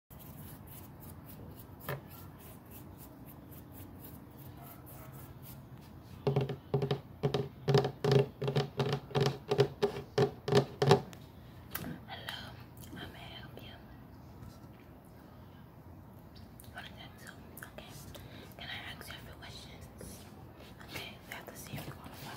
Hello, I may help you. What is that Okay. Can I ask you a few questions? Okay, we have to see if you qualify.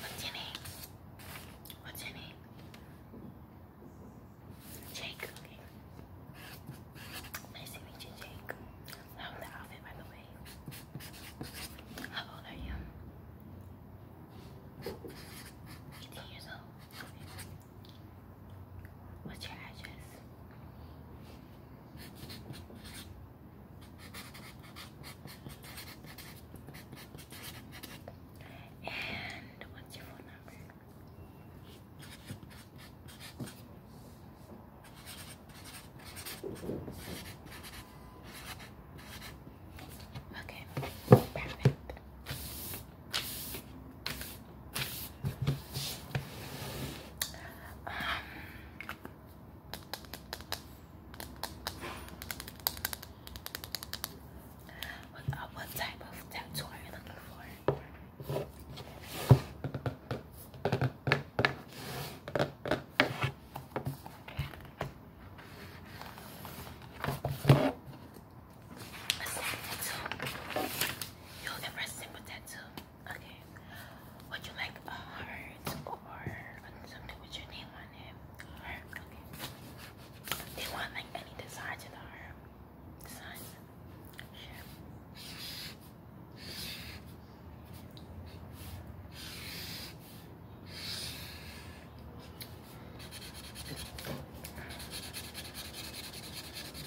What's your name? What's your name? Jake. Nice to meet you, Jake. Love the outfit, by the way. How old are you? 18 years old. What's your address? And what's your phone number? Okay, um, uh, what, type of tattoo are you looking for? A tattoo. you looking for simple tattoo. Okay. Would you like a heart or something with your name on it? Heart? Okay. Do you want like any design to the heart? Design? Sure.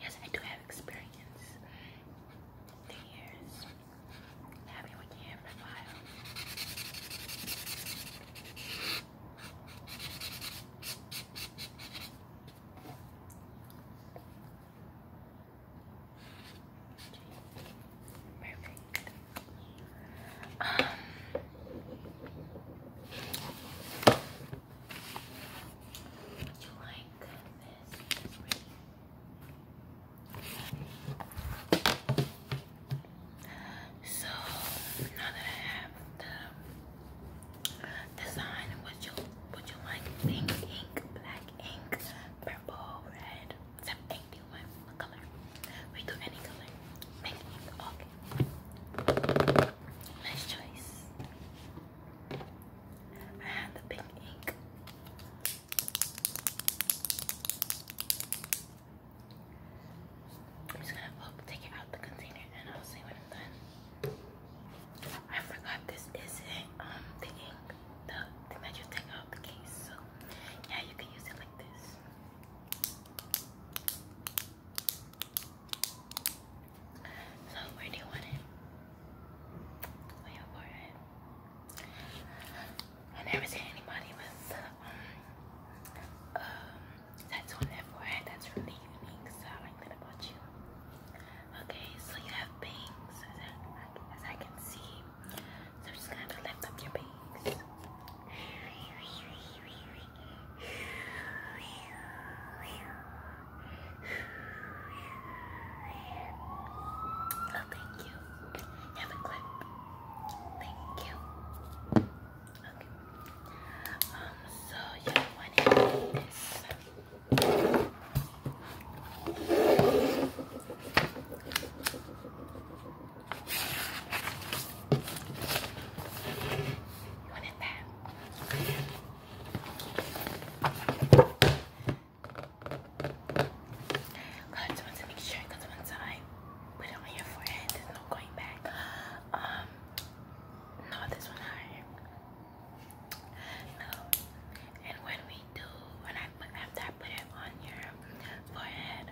Yes, I do have experience. Two years. Happy with the hair profile. Perfect. Um, my goodness, this So now that I have the design, would you would you like pink black ink, purple, red? Except ink do you want a color? We do any color. Pink okay. Nice choice. I have the pink ink. I'm just gonna oh, take it out the container, and I'll see when I'm done. I forgot this isn't um the thing that you take out the case. So yeah, you can use it like this. So where do you want it? Where your forehead? I never seen anybody with um, um tattoo on their forehead. That's really unique. So I like that about you. Okay, so you have bangs as I, can see. So just gonna lift up your bangs. Oh, thank you. Have a clip. Thank you. Okay. Um, so yeah, I wanted this. You that? I just want to make sure because once I put it on your forehead, there's no going back. Um, no, this one higher. No, and when we do, when I put after I put it on your forehead,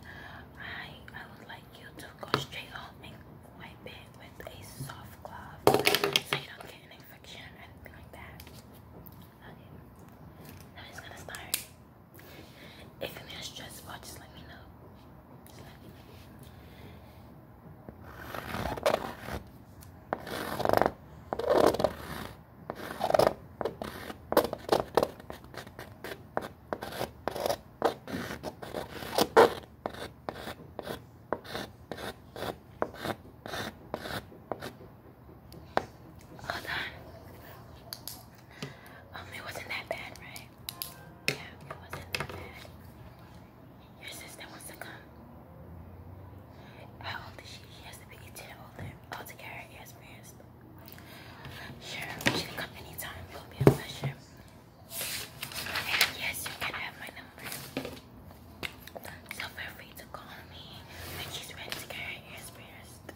I I would like you to go straight home and wipe it with a soft glove so you don't get an infection or anything like that. Okay. Now it's gonna start. If you need a stressful, just let me know. Just let me know. All done. Um, it wasn't that bad, right? Yeah, it wasn't that bad. Your sister wants to come. How old is she? has to be 10 older. I'll take care of her experienced. Sure, she can come anytime yes, you can have my number. So feel free to call me she's ready to get her ears pierced.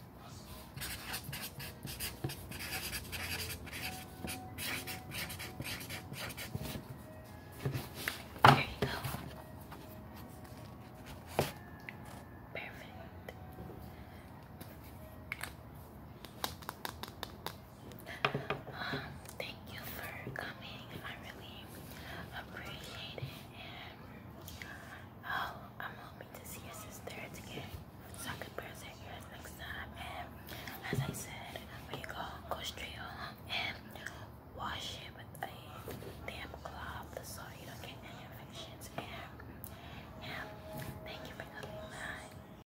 There you go. Perfect. thank you for coming. I really appreciate it. Oh, I'm hoping to see your sister again so I can press her next time. And as I said, when you go, go straight home and wash it with a damp cloth so you don't get any infections. And thank you for coming